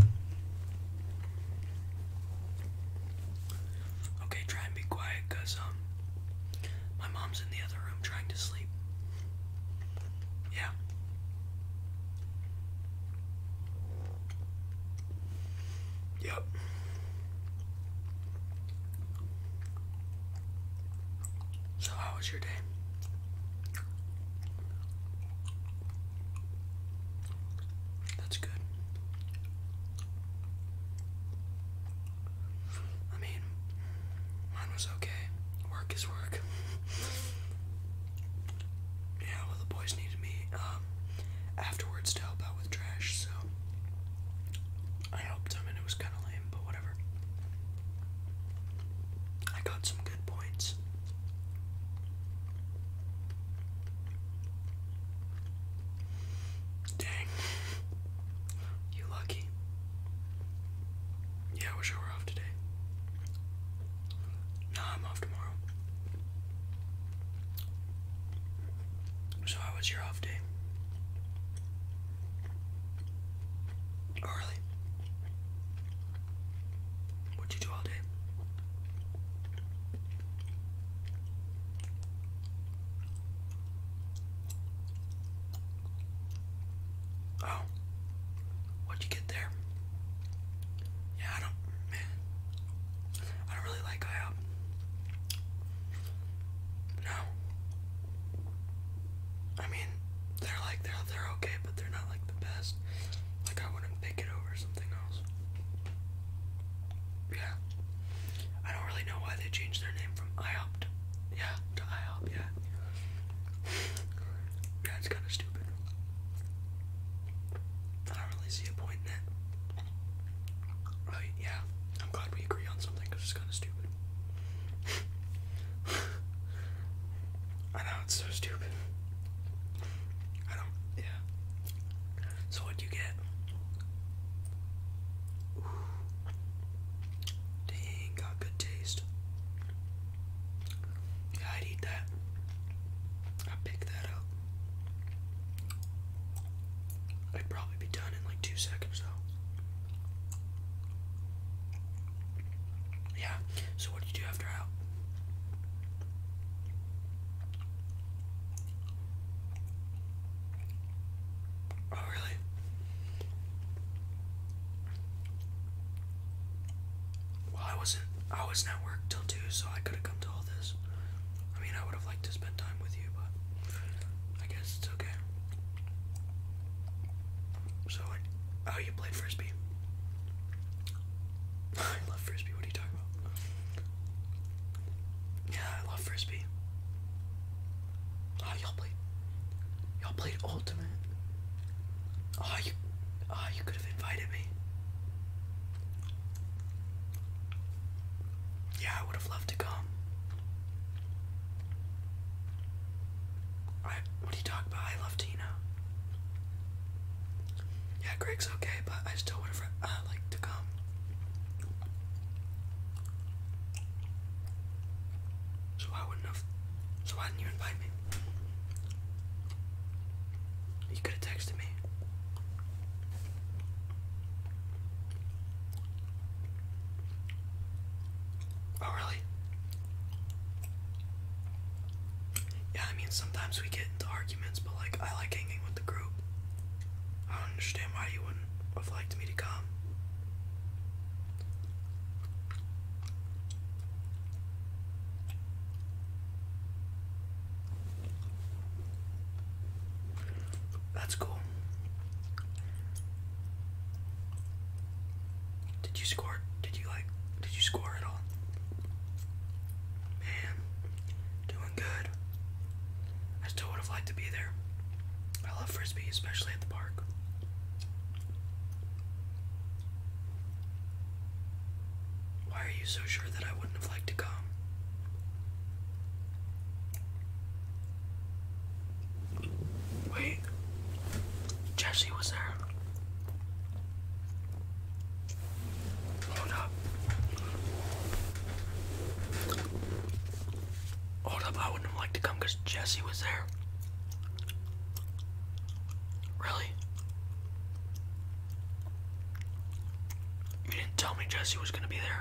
Okay, try and be quiet because um my mom's in the other room trying to sleep. Yeah. Yep. So how was your day? That's good. I mean, mine was okay. Work is work. yeah, well, the boys needed me um, afterwards to help out with trash, so I helped them, and it was kind of lame, but whatever. I got some good points. Dang. You lucky. Yeah, I wish I were off today. No, I'm off tomorrow. So how was your off day? really? What'd you do all day? Oh, what'd you get there? Yeah, I don't, man. I don't really like IHOP. No. I mean, they're like they're they're okay, but they're not like the best. Like I wouldn't pick it over something else. Yeah. I don't really know why they changed their name from IHOP yeah, to IHOP, yeah. yeah, it's kinda stupid. I don't really see a point in it. Right, yeah. I'm glad we agree on something because it's kinda stupid. I know that's so stupid. I don't, yeah. So what'd you get? Dang, got good taste. I'd eat that. I'd that up. I'd probably be done in like two seconds though. Yeah. So what did you do after out? Oh really? Well, I wasn't. I was at work till two, so I could have come to all this. I mean, I would have liked to spend time with you, but I guess it's okay. So, oh, you played frisbee. I love frisbee. What are you talking about? Yeah, I love frisbee. Oh, y'all played. Y'all played ultimate. Oh, you. Oh, you could have invited me. Yeah, I would have loved to come. I. What are you talking about? I love Tina. Yeah, Greg's okay, but I still would have uh, liked to come. So I wouldn't have. So why didn't you invite me? You could have texted me. Oh, really? Yeah, I mean, sometimes we get into arguments, but like, I like hanging with the group. I don't understand why you wouldn't have liked me to come. That's cool. Did you score? Did you like? Did you score at all? Man, doing good. I still would have liked to be there. I love frisbee, especially at the park. Why are you so sure that I wouldn't have liked to come? Wait, Jesse was there. Hold up. Hold up, I wouldn't have liked to come because Jesse was there. Really? You didn't tell me Jesse was gonna be there.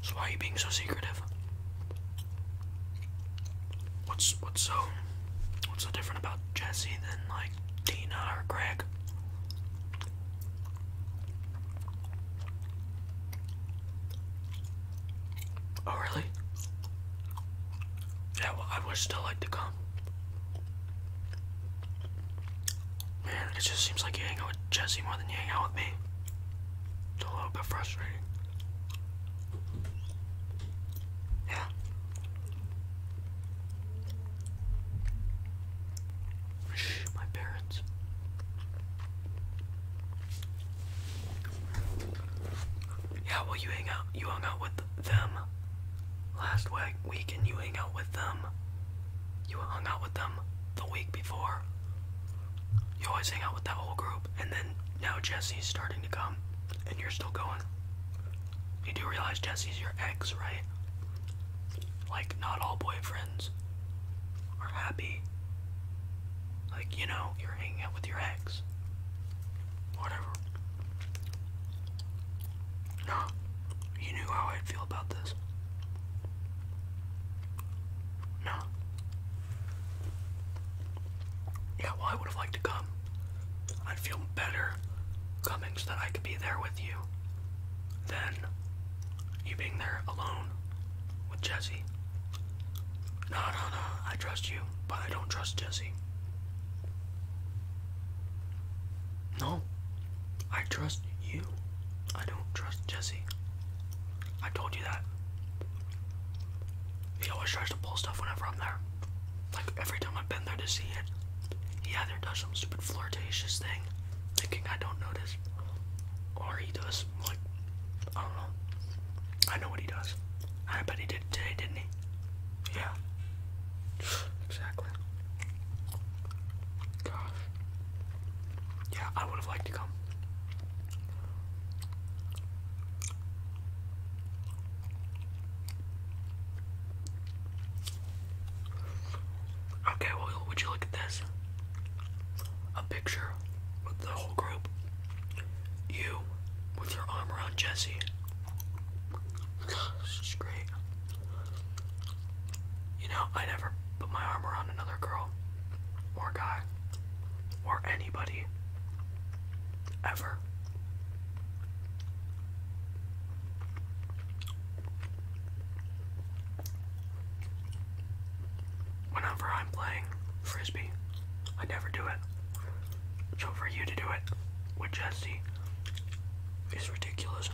So why are you being so secretive? What's what's so what's so different about Jesse than like Dina or Greg? Oh really? Yeah, well I would still like to come. Man, it just seems like you hang out with Jesse more than you hang out with me. It's a little bit frustrating. Shh, my parents. Yeah, well you hang out you hung out with them last week and you hang out with them. You hung out with them the week before. You always hang out with that whole group, and then now Jesse's starting to come, and you're still going. You do realize Jesse's your ex, right? Like, not all boyfriends are happy. Like, you know, you're hanging out with your ex. Whatever. No, you knew how I'd feel about this. No. Yeah, well, I would have liked to come. I'd feel better coming so that I could be there with you than you being there alone with Jesse. No, no, no, I trust you, but I don't trust Jesse. No, I trust you. I don't trust Jesse. I told you that. He always tries to pull stuff whenever I'm there. Like every time I've been there to see it, he either does some stupid flirtatious thing, thinking I don't notice, or he does like I don't know. I know what he does. I bet he did today, didn't he? Yeah. Exactly. Gosh. Yeah, I would have liked to come. Okay, well, would you look at this? A picture with the whole group. You with your arm around Jesse, God, great. You know, I never put my arm around another girl or guy or anybody ever. Whenever I'm playing frisbee, I never do it. So for you to do it with Jesse is ridiculous.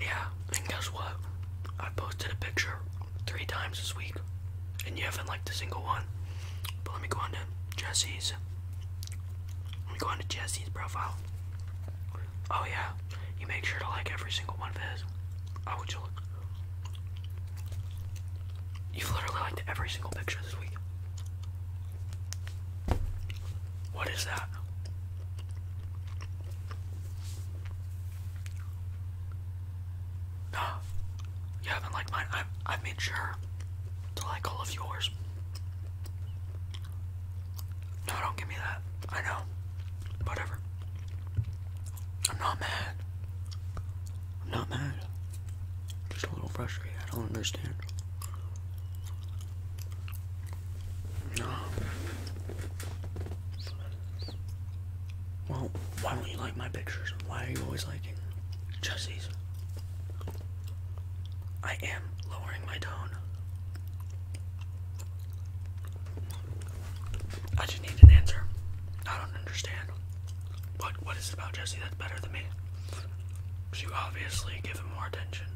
Yeah, and guess what? I posted a picture three times this week, and you haven't liked a single one. But let me go on to Jesse's. Let me go on to Jesse's profile. Oh yeah, you make sure to like every single one of his. Oh, would you look? You've literally liked every single picture this week. What is that? No, you haven't liked mine. I I made sure to like all of yours. No, don't give me that. I know. Whatever. I'm not mad. not mad. Just a little frustrated. I don't understand. No. Well, why don't you like my pictures? Why are you always liking just I am lowering my tone. I just need an answer. I don't understand. What what is it about Jesse that's better than me? You obviously give them more attention.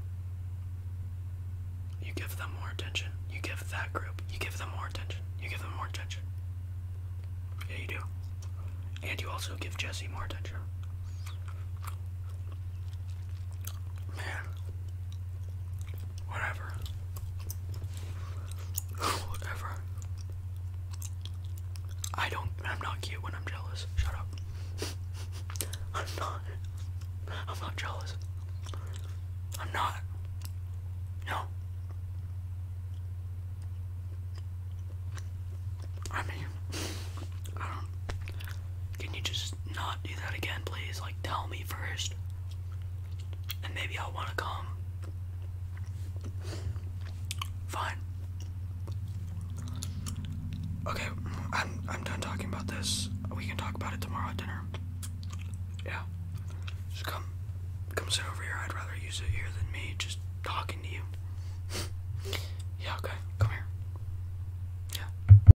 You give them more attention. You give that group. You give them more attention. You give them more attention. Yeah, you do. And you also give Jesse more attention. Man. Whatever. Whatever. I don't. I'm not cute when I'm jealous. Shut up. I'm not. I'm not jealous. I'm not. No. I mean, I don't. Can you just not do that again, please? Like, tell me first. And maybe i want to come. Fine. Okay, I'm I'm done talking about this. We can talk about it tomorrow at dinner. Yeah. Just come come sit over here. I'd rather you sit here than me just talking to you. yeah, okay. Come here. Yeah.